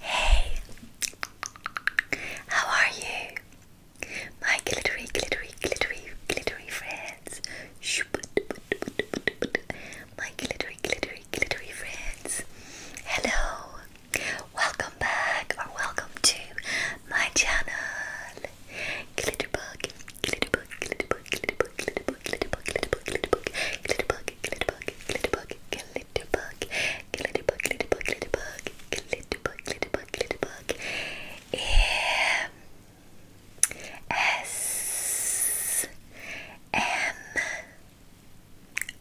Hey, how are you? My glittery, glittery, glittery, glittery friends. My glittery, glittery, glittery friends. Hello, welcome back or welcome to my channel. Glitterbug, glitterbug, glitterbug, glitterbug, glitterbug, glitterbug, glitterbug, glitterbug, glitterbug, glitterbug, glitterbug, glitterbug, glitterbug, glitterbug, glitterbug, glitterbug, glitterbug, glitterbug, S M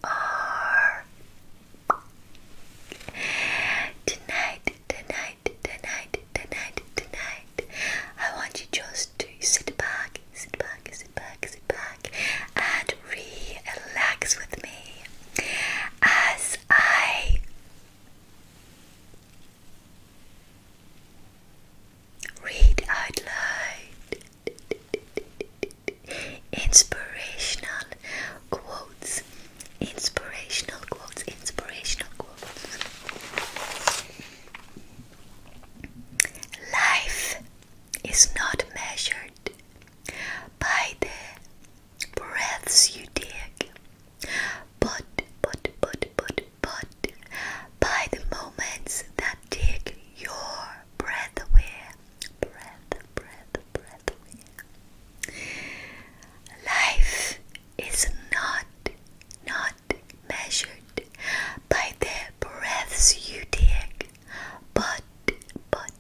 R Tonight, tonight, tonight, tonight, tonight. I want you just to sit back sit back, sit back, sit back, and relax with me as I read out loud inspirational quotes, inspirational quotes, inspirational quotes. Life is not measured by the breaths you take, but, but, but, but, but, by the moments that take your breath away, breath, breath, breath away. Life is not, not measured by the breaths you take, but but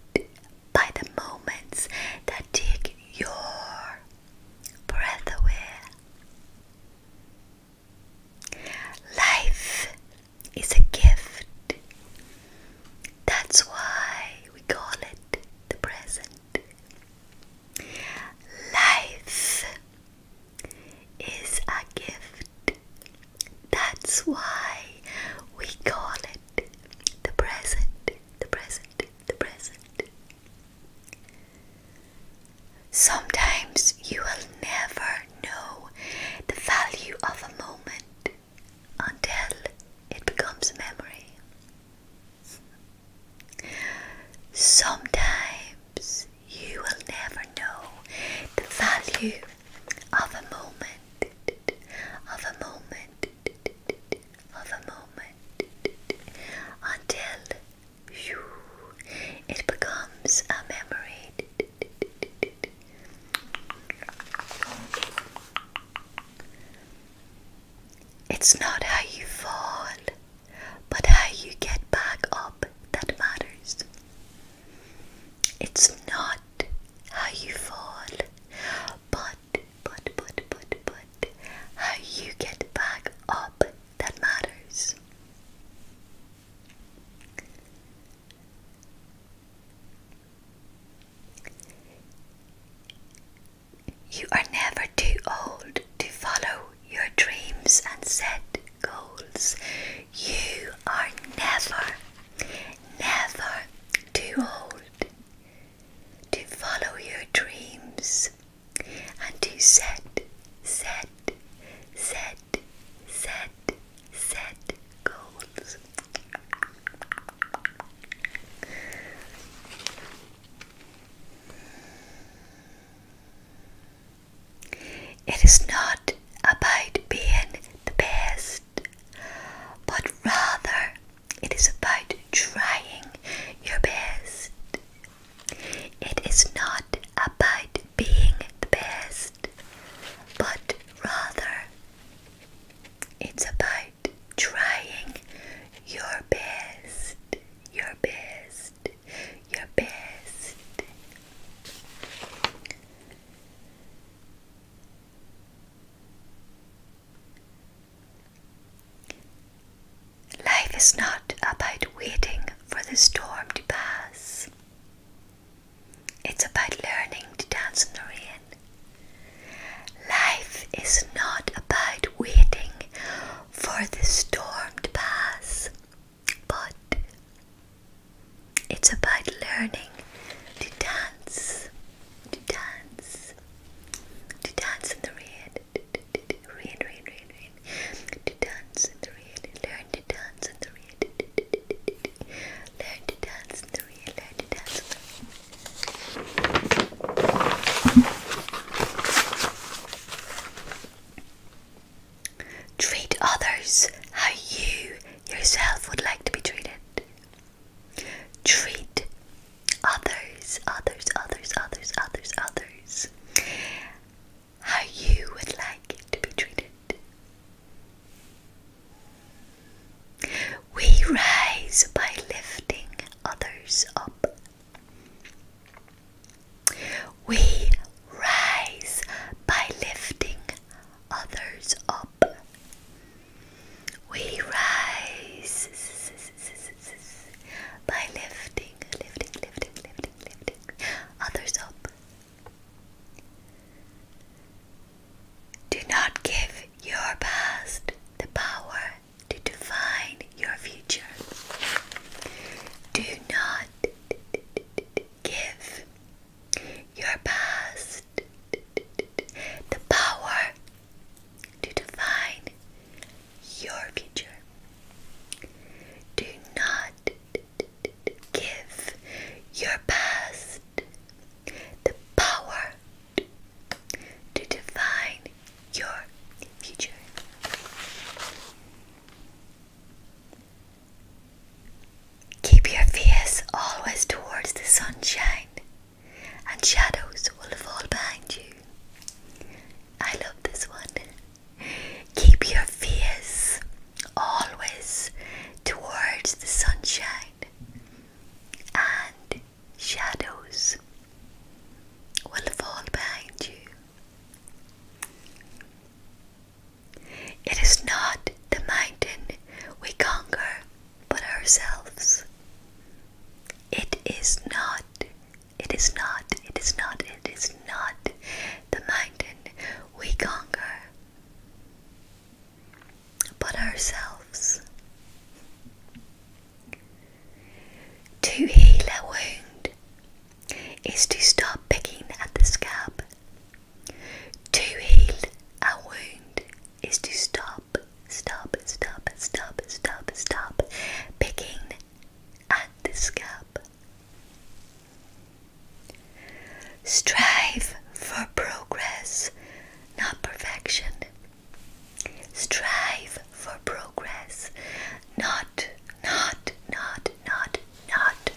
by the moments that take your breath away. Life is a gift. That's why we call it the present. Life is a gift. That's why we call it the present, the present, the present. Sometimes you will never know the value of a moment until it becomes a memory. Sometimes you will never know the value of a moment, of a moment, of a moment, until it becomes a memory. It's not how you fall, but how you get back up that matters. It's not how you fall, but, but, but, but, but, how you get back up that matters. You are never too old to follow your dreams and set goals. You are never, never too old to follow your dreams and to set, set, set, set, set goals. It is not about being the best but rather it is about trying your best. It is not about being the best, but rather it's about trying your best, your best, your best. Life is not about waiting for the storm to pass. It's about learning to dance in the rain. Life is not about waiting for the storm to pass, but it's about learning to dance, to dance, to dance in the rain, rain, rain, rain, to dance in the rain, learn to dance in the rain, learn to dance in the rain, learn to dance Treat others how you yourself would like to be treated treat others, others, others, others, others, others how you would like to be treated. We rise by lifting others up. We rise by lifting others up. We rise by lifting, lifting, lifting, lifting, lifting others up. Do not give your past the power to define your future. Do not give your past, the power to define your future. Do not give your past the power to define your future. Keep your face always towards the sunshine, and shadows will fall behind you. I love this one. Keep your face always towards the sunshine, and shadows will fall behind you. It is not the mountain we conquer but ourselves. It is not, it is not, it is not, it is not the mountain we conquer, but ourselves. To heal a wound is to stop picking at the scab to heal a wound is to stop, stop, stop, stop, stop, stop picking at the scab. Strive for progress, not perfection. Strive for progress, not, not, not, not, not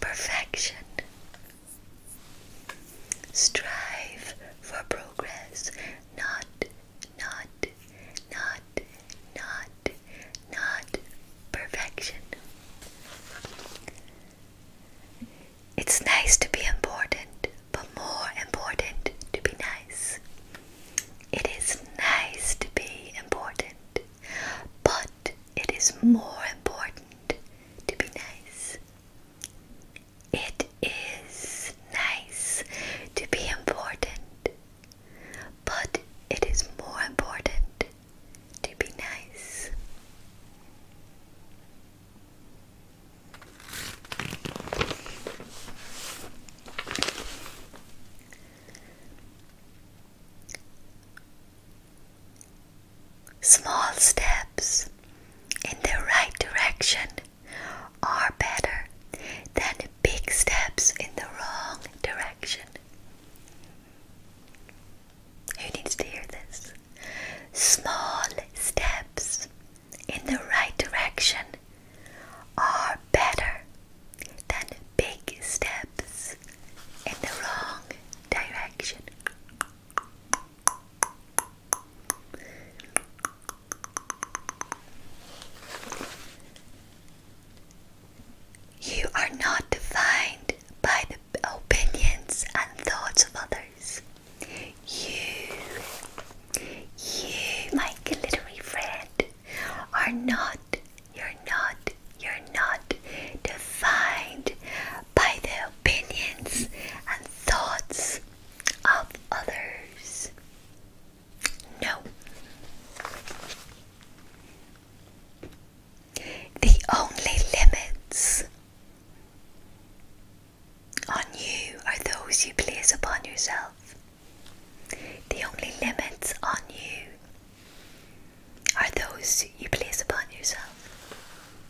perfection. Strive for progress, not, not, not, not, not perfection. It's nice to be important, but more important to be nice. It is nice to be important, but it is more important to be nice. It is nice to be important, but it is more important to be nice. Small steps in the right direction are better than big steps in the wrong direction. Who needs to hear this? Small steps in the right direction are better than big steps in the wrong direction. You are not defined by the opinions and thoughts of others. You, you, my glittery friend, are not, you're not, you're not defined by the opinions and thoughts of others. No. The only limits on you are those you place upon yourself. The only limits on you are those you place upon yourself.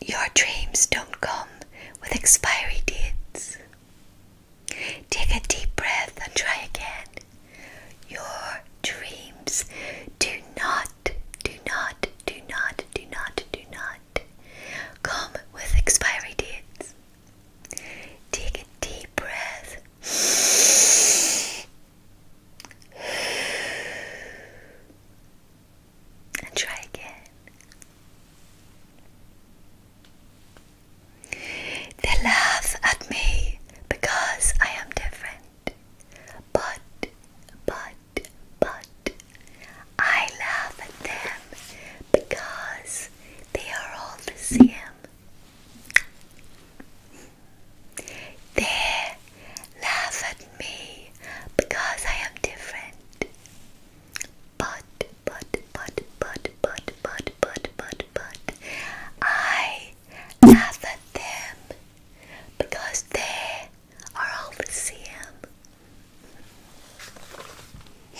Your dreams don't come with expiry dates. Take a deep breath and try again. Your dreams do not, do not, do not, do not, do not come with expiry dates. Take a deep breath and try again. They laugh at me because I am different, but, but, but, I laugh at them because they are all the same. They Laugh at me because I am different. But, but, but, but, but, but, but, but, but, I laugh at them because they are all the same.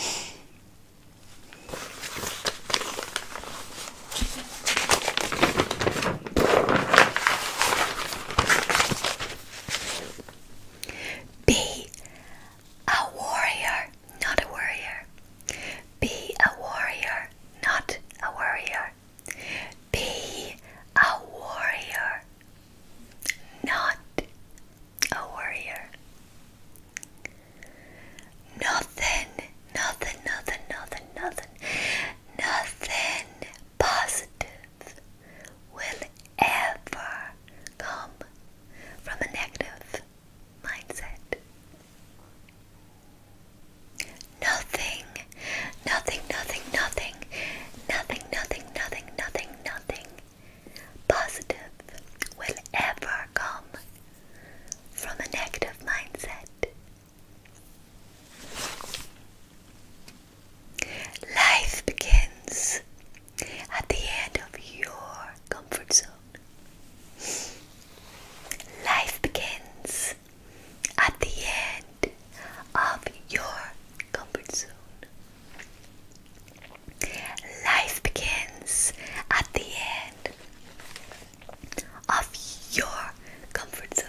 Be a warrior, not a warrior. Be a warrior, not a warrior. Be a warrior, not a warrior. Nothing, nothing, nothing, nothing, nothing, nothing positive will ever come from a negative mindset. Nothing, nothing, nothing, nothing, nothing, nothing, nothing, nothing, nothing positive will ever come from a negative mindset. Life begins at the end of your comfort zone. Life begins at the end of your comfort zone. Life begins at the end of your comfort zone.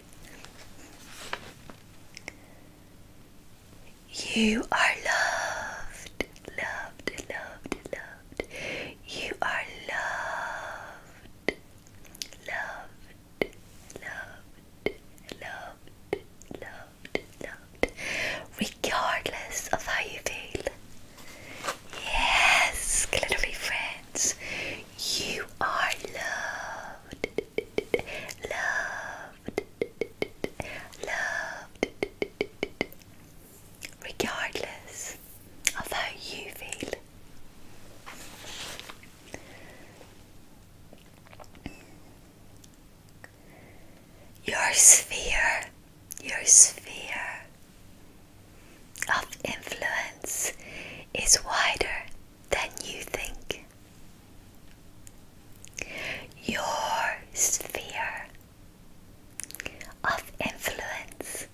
You are loved, loved, loved, loved. You are loved, loved, loved, loved, loved, loved. Regardless of how you feel. Yes, glittery friends, you are loved loved, loved, regardless of how you feel. Your sphere, your sphere of influence is wider than you think. Your sphere of influence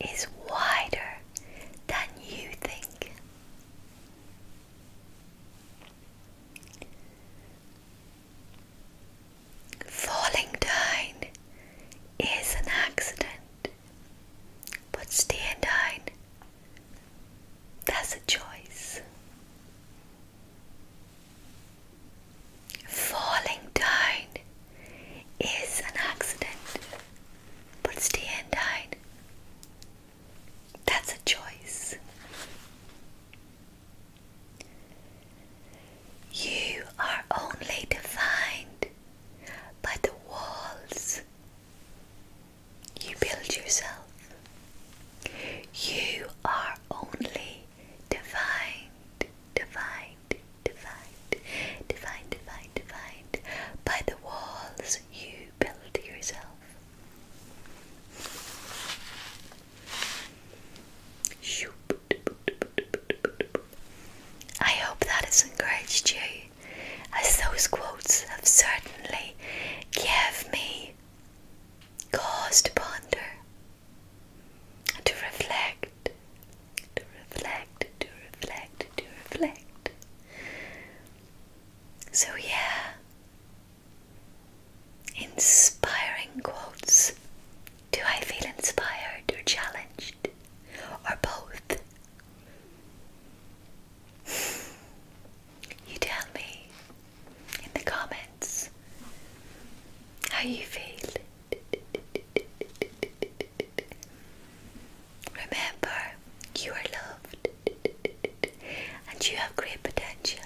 is wider than you think. Falling down is an accident, but staying down that's a choice. Falling down is an accident, but staying down, that's a choice. You are only defined by the walls you build yourself. You are only defined, defined, defined, defined, defined, defined by the walls you build yourself. I hope that has encouraged you as those quotes have certainly given me cause to ponder, to reflect, to reflect, to reflect, to reflect. So, yeah, inspiring quotes. Do I feel inspired or challenged or both? You tell me in the comments how you feel. Remember, you are loved and you have great potential.